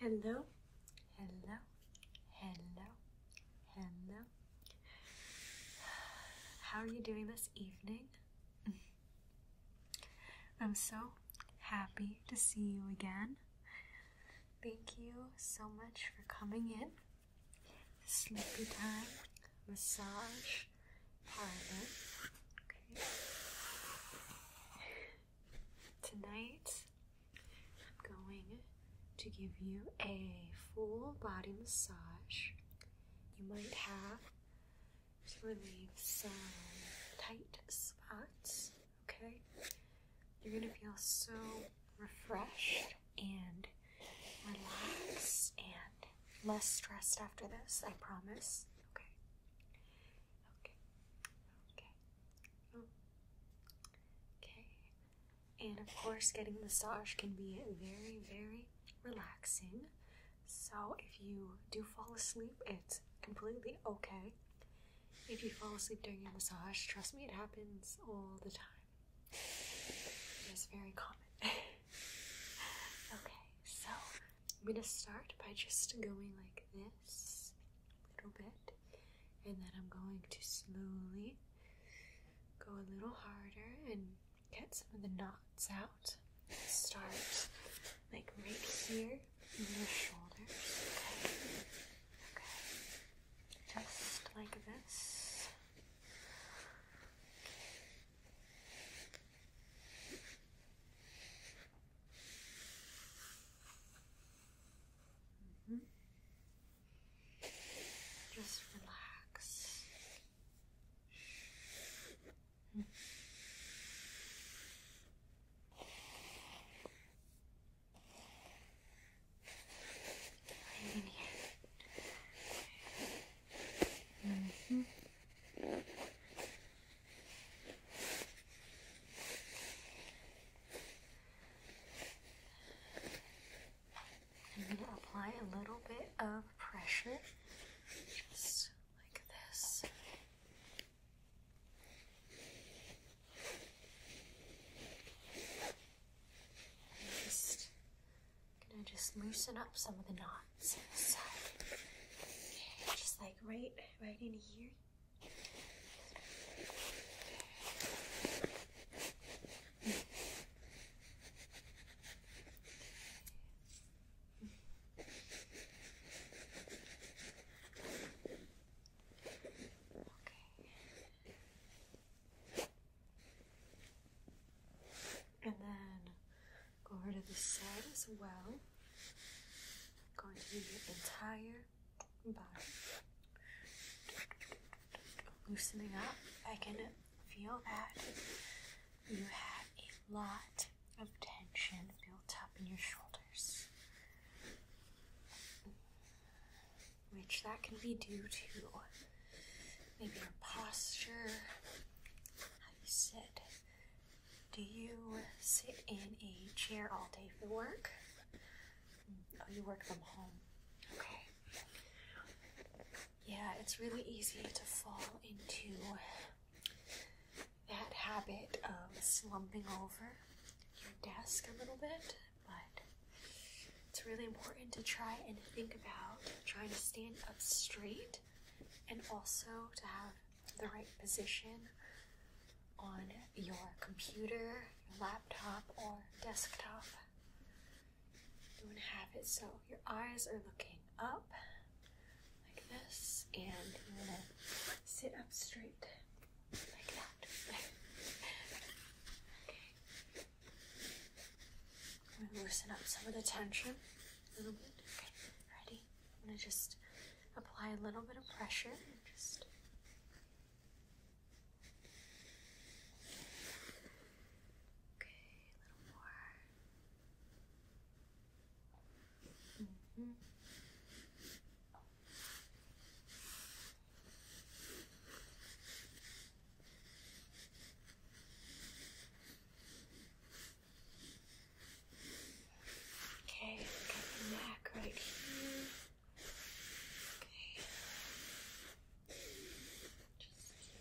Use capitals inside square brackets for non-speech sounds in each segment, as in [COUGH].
Hello, hello, hello, hello. How are you doing this evening? [LAUGHS] I'm so happy to see you again. Thank you so much for coming in. Sleepy time, massage, Alright. Okay. Tonight, I'm going to give you a full body massage. You might have to relieve some tight spots, okay? You're gonna feel so refreshed and relaxed and less stressed after this, I promise. Okay. Okay. Okay. Okay. And of course, getting massage can be very, very relaxing. So if you do fall asleep, it's completely okay. If you fall asleep during your massage, trust me, it happens all the time. It's very common. [LAUGHS] okay, so I'm gonna start by just going like this a little bit, and then I'm going to slowly go a little harder and get some of the knots out. Start like right here in your shoulders, Okay. Okay. Just like this. Mm-hmm. Just relax. Mm -hmm. in here. I'm going to apply a little bit of pressure, just like this. Just I'm gonna just loosen up some of the knots. just like right, right in here. Okay. And then Go over to the side as well. Going to your entire body. Loosening up. I can feel that you have a lot of tension built up in your shoulders. Which that can be due to maybe your posture, how you sit. Do you sit in a chair all day for work? Oh, you work from home. Okay. Yeah, it's really easy to fall into that habit of slumping over your desk a little bit, but it's really important to try and think about trying to stand up straight and also to have the right position on your computer, your laptop, or desktop. You want to have it so your eyes are looking up like this, and you want to sit up straight like that. [LAUGHS] okay. I'm going to loosen up some of the tension a little bit. Okay, ready? I'm going to just apply a little bit of pressure and just. Okay, a little more. -hmm. Okay, get your neck right here. Okay. Just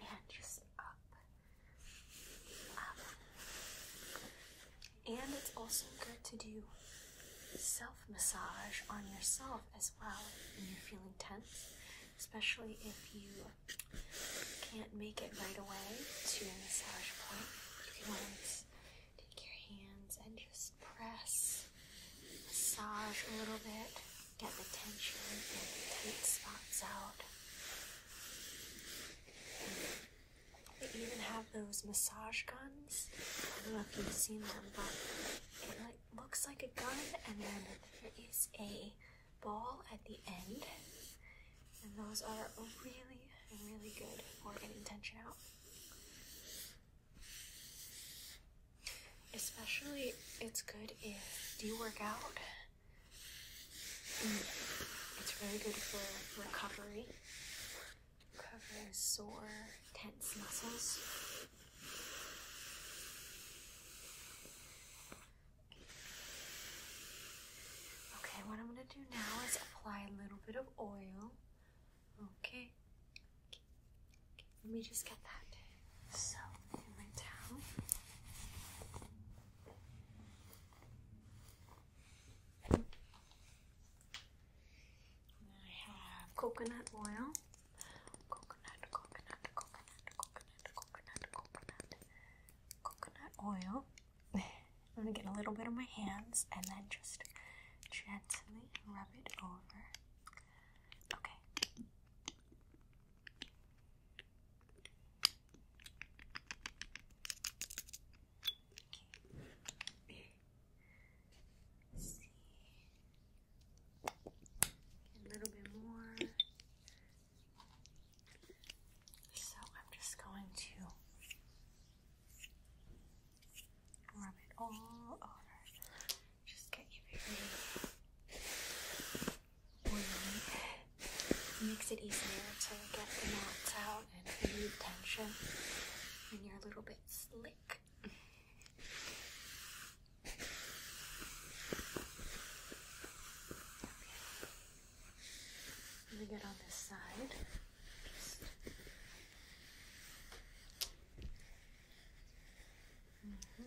and just up. Um, and it's also good to do self massage on yourself as well when you're feeling tense, especially if you can't make it right away to a massage point. You can always take your hands and just press, massage a little bit, get the tension and tight spots out. They even have those massage guns. I don't know if you've seen them, but it like looks like a gun, and then there is a ball at the end. And those are really, really good for getting tension out. Especially, it's good if you work out it's very good for recovery, recovering sore, tense muscles. Okay, what I'm going to do now is apply a little bit of oil. Okay. Let me just get that. So, my towel. I have coconut oil. Coconut, coconut, coconut, coconut, coconut, coconut, coconut oil. I'm gonna get a little bit on my hands and then just gently rub it over. Okay. Okay. A little bit more. So I'm just going to rub it all over. Just get you very it makes it easier to get the knots out and relieve tension when you're a little bit slick. Let me get on this side. Mm-hmm.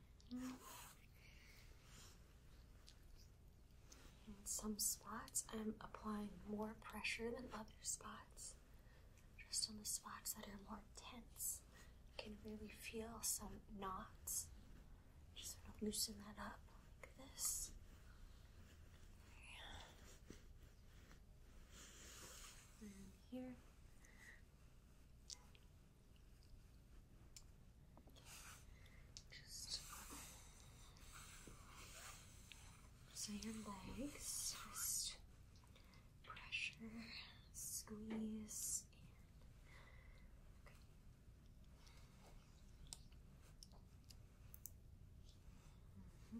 In some spots, I'm applying more pressure than other spots. Just on the spots that are more tense, I can really feel some knots. Just sort of loosen that up like this. here. Just so your legs, just pressure, squeeze, mm-hmm.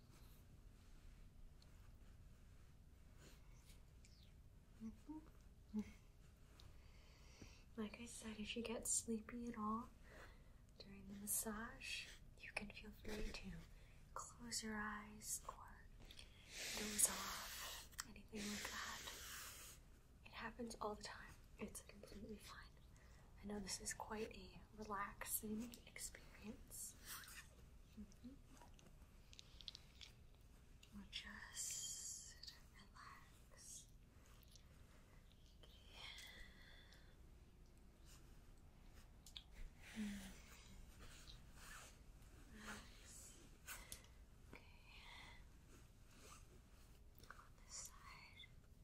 Like I said, if you get sleepy at all during the massage, you can feel free to close your eyes or doze off, anything like that. It happens all the time. It's completely fine. I know this is quite a relaxing experience. Mm-hmm. just relax. Okay. Okay. On this side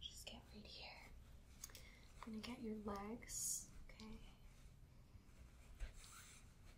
Just get right here. I'm gonna get your legs, okay?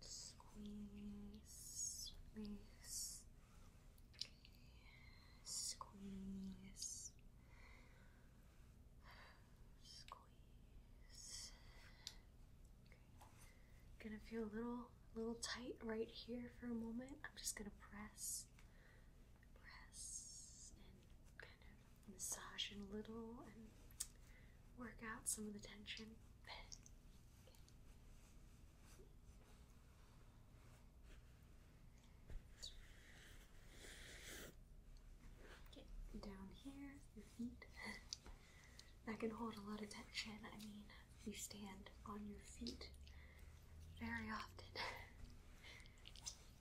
Squeeze, squeeze, squeeze, squeeze. Okay. Gonna feel a little, little tight right here for a moment. I'm just gonna press, press, and kind of massage in a little and work out some of the tension. Get down here, your feet. That can hold a lot of tension. I mean, you stand on your feet very often.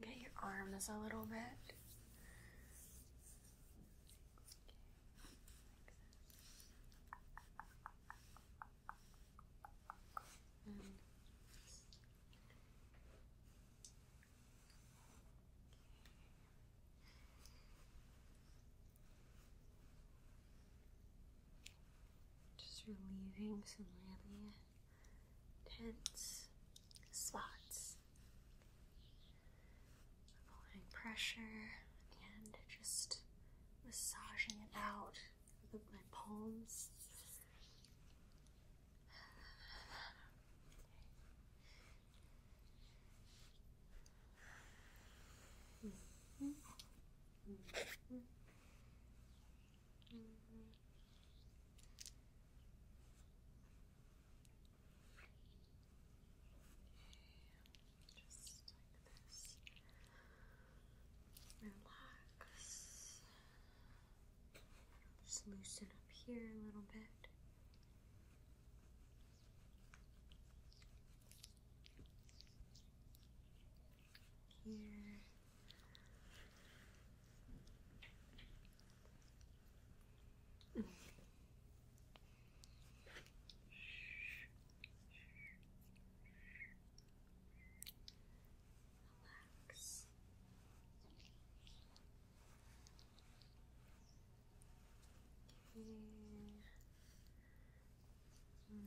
Get your arms a little bit. just relieving some really tense spots. Applying pressure and just massaging it out with my palms. Mm-hmm. Mm-hmm just like this. Relax. Just loosen up here a little bit. Here. Relax. Okay. Mm. mm.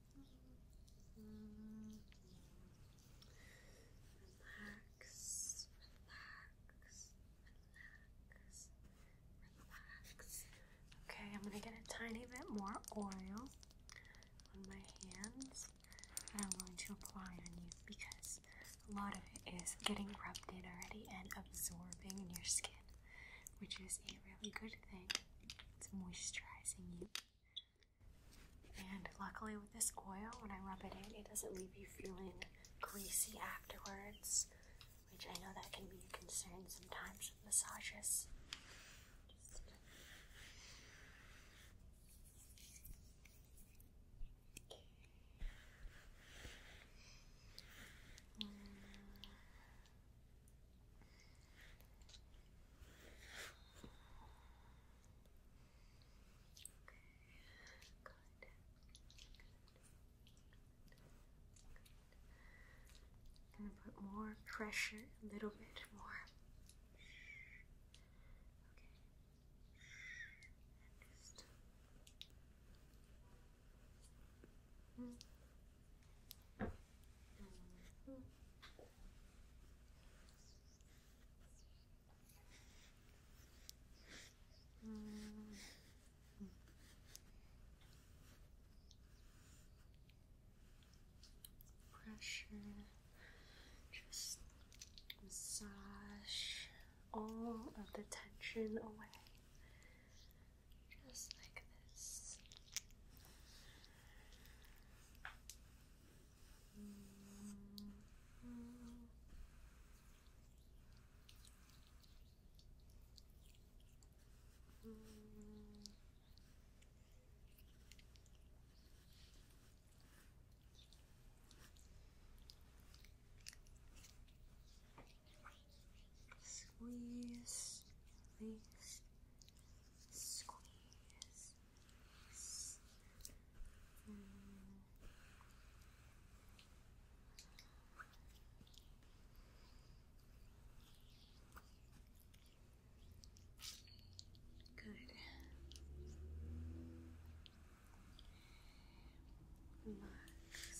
Relax, relax, relax, relax. Okay, I'm gonna get a tiny bit more oil on my hands and I'm going to apply on you because a lot of it is getting rubbed in already and absorbing in your skin, which is a really good thing. It's moisturizing you. And luckily, with this oil, when I rub it in, it doesn't leave you feeling greasy afterwards, which I know that can be a concern sometimes with massages. I'm gonna put more pressure, a little bit more. Pressure, just massage all of the tension away just like this. Mm-hmm. Squeeze, release, squeeze, Good. Relax, relax,